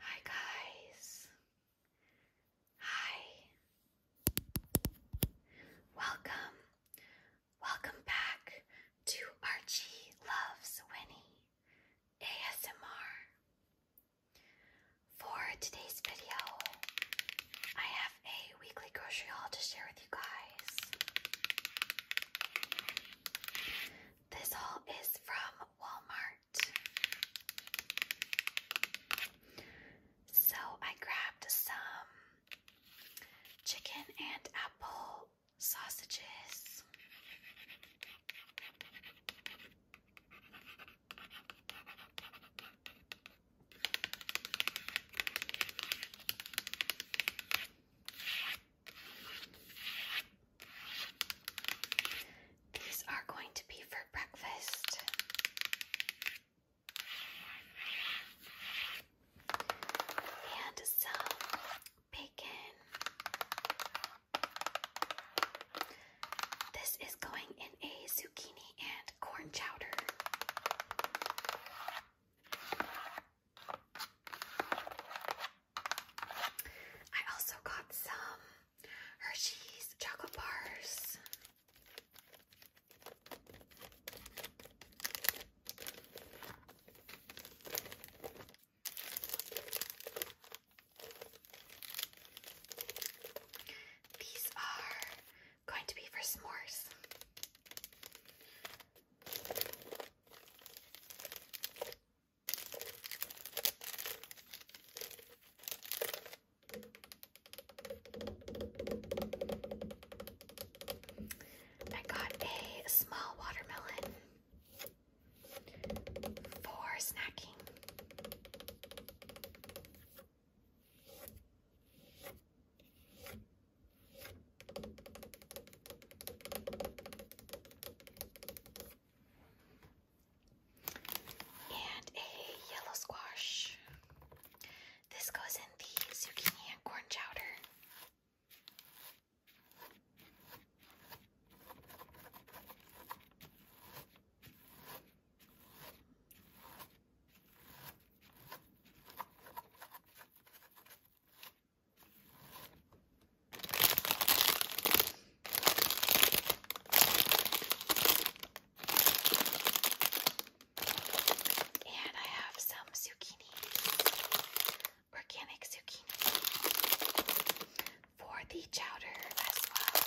Hi guys. Hi. Welcome. Welcome back to Archie Loves Winnie ASMR. For today's video, I have a weekly grocery haul to share with you guys. This haul is from Walmart. So I grabbed some chicken and apple sausages. These are going to be for breakfast. And some bacon. This is going in a zucchini and corn chowder. I also got some Hershey's chocolate bars. These are going to be for s'mores. I got a small watermelon for snacking. And a yellow squash. This goes in the zucchini and corn chowder. And I have some zucchini, organic zucchini for the chowder as well.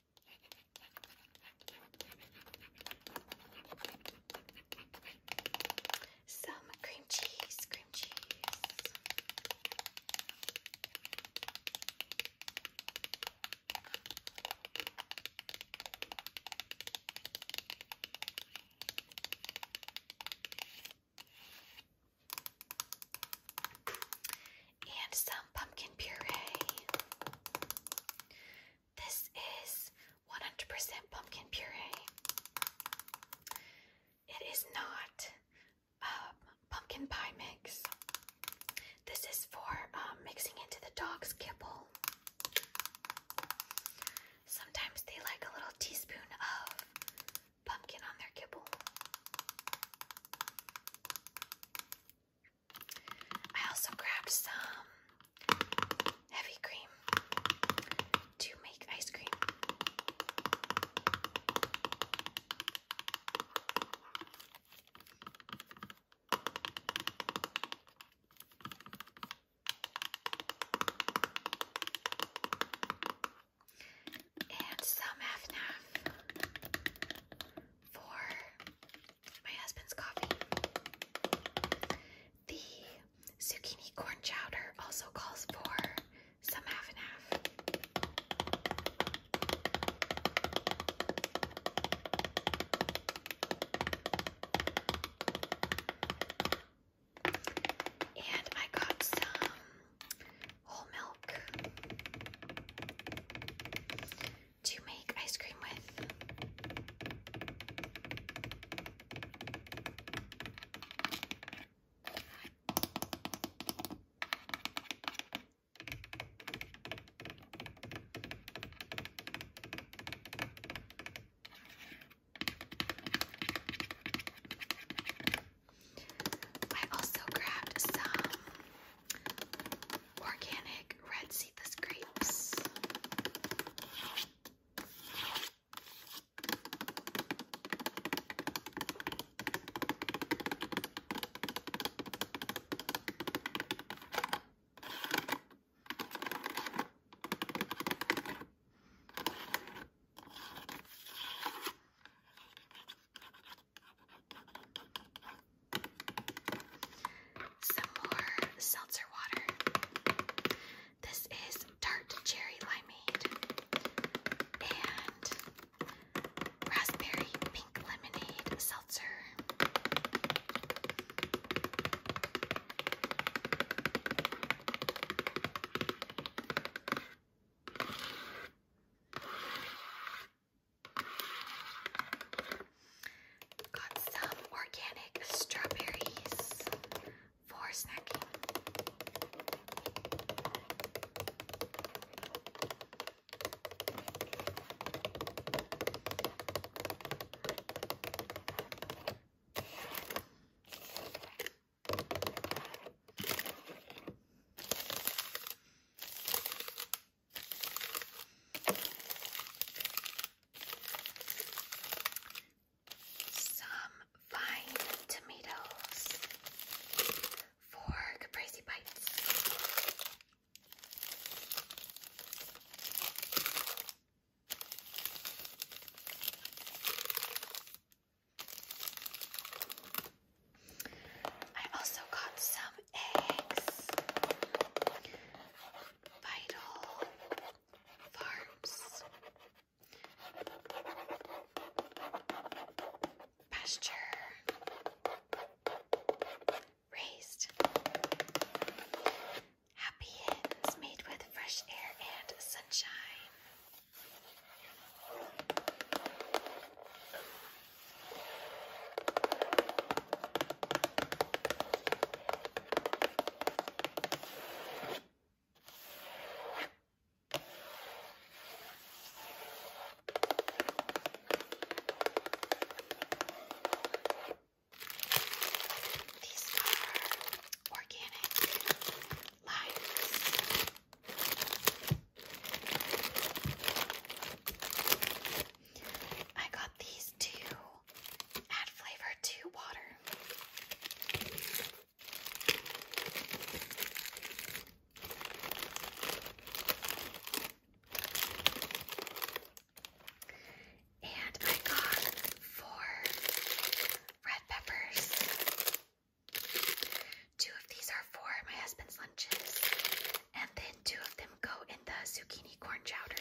Some cream cheese, cream cheese. And some pumpkin puree. This is 100% pumpkin puree. It is not um, pumpkin pie mix. This is for um, mixing into the dog's kibble. Sometimes they like a little teaspoon of pumpkin on their kibble. I also grabbed some heavy cream to make ice cream. And some half for my husband's coffee. The zucchini corn chowder also calls for some half and half. And I got some whole milk to make ice cream with. I also grabbed some organic red cephas grapes. Some more seltzer water. This is tart cherry limeade and raspberry pink lemonade seltzer. Got some organic strawberries for snacking. Some fine tomatoes. Four caprese bites. I also got some eggs. Vital Farms, Pasture, Raised, Happy Inns made with fresh air and sunshine. These are organic limes. I got these to add flavor to water. And I got four red peppers. Two of these are for my husband's lunches, and then two of them go in the zucchini corn chowder.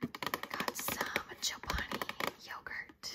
Got some Chobani yogurt.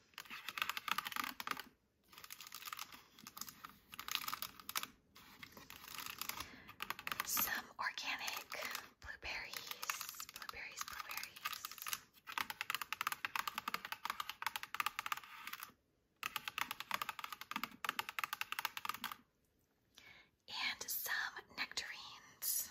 Some organic blueberries, blueberries, blueberries. And some nectarines.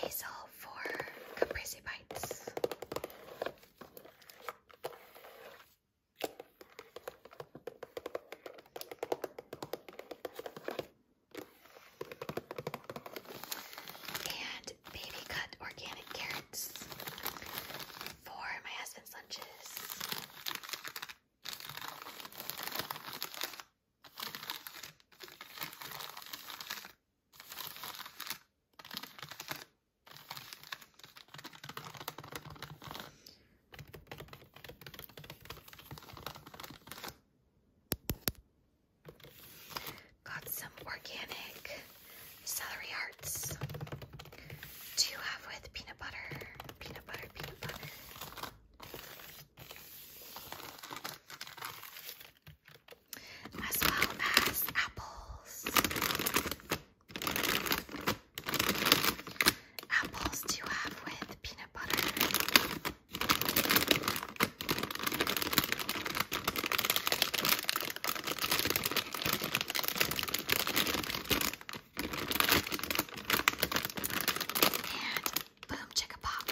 Basil for Caprese Bites. And baby cut organic carrots for my husband's lunches. Got some organic celery hearts Do you have with peanut butter, peanut butter, peanut butter. As well as apples. Apples to have with peanut butter. And boom, a pop.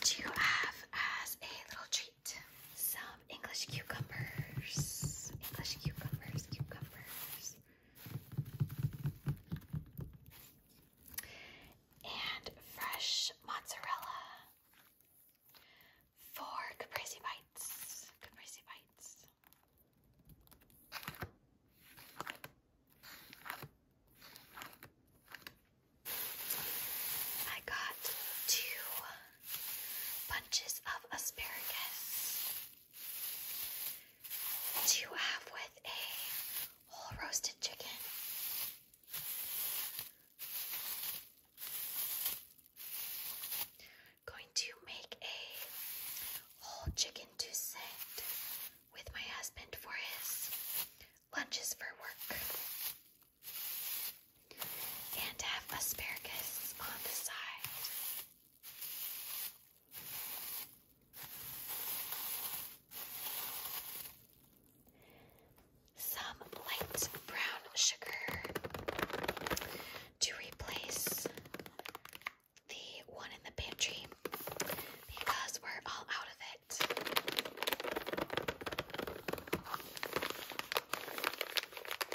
Do you have as a little treat? some English cucumbers. English cucumbers, cucumbers. And fresh mozzarella. Four caprese bites. Caprese bites. I got two bunches of asparagus to have with a whole roasted chicken. Going to make a whole chicken to doucette with my husband for his lunches for work and have asparagus on the side. Some light brown sugar to replace the one in the pantry because we're all out of it.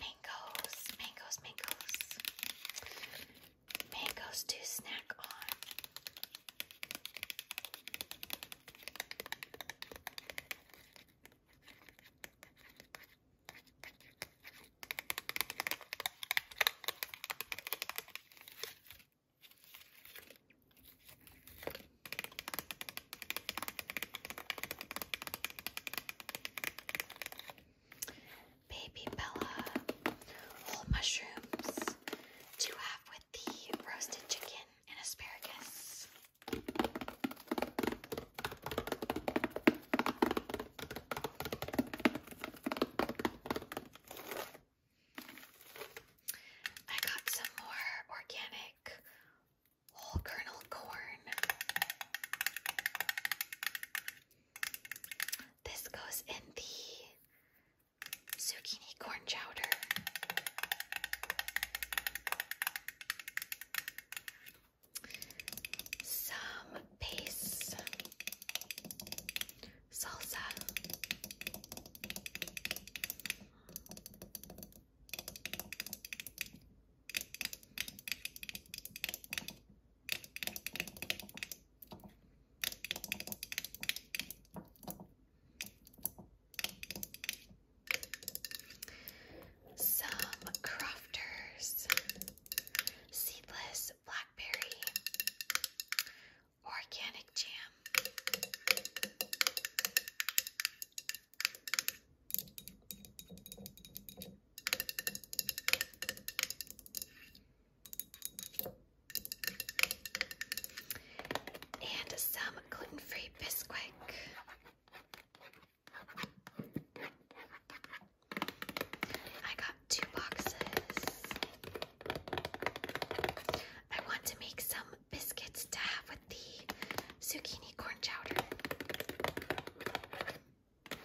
mangoes, mangoes, mangoes, mangoes to snack on. Baby Bella, whole mushrooms to have with the roasted chicken and asparagus. I got some more organic whole kernel corn this goes in the zucchini corn chowder. Some base salsa. Some crafters, seedless blackberry, organic jam. And some gluten-free Bisquick. I got two boxes. I want to make some biscuits to have with the zucchini corn chowder. All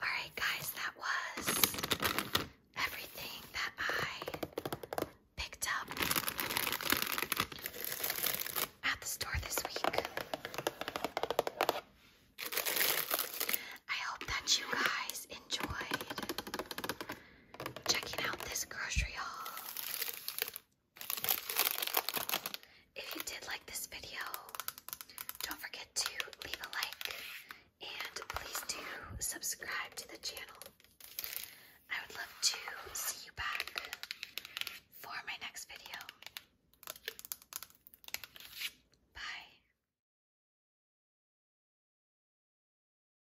right, guys, that was everything that I picked up at the store this week. I hope that you guys enjoyed checking out this grocery haul. If you did like this video, don't forget to leave a like and please do subscribe to the channel. I would love to see you back for my next video. Bye.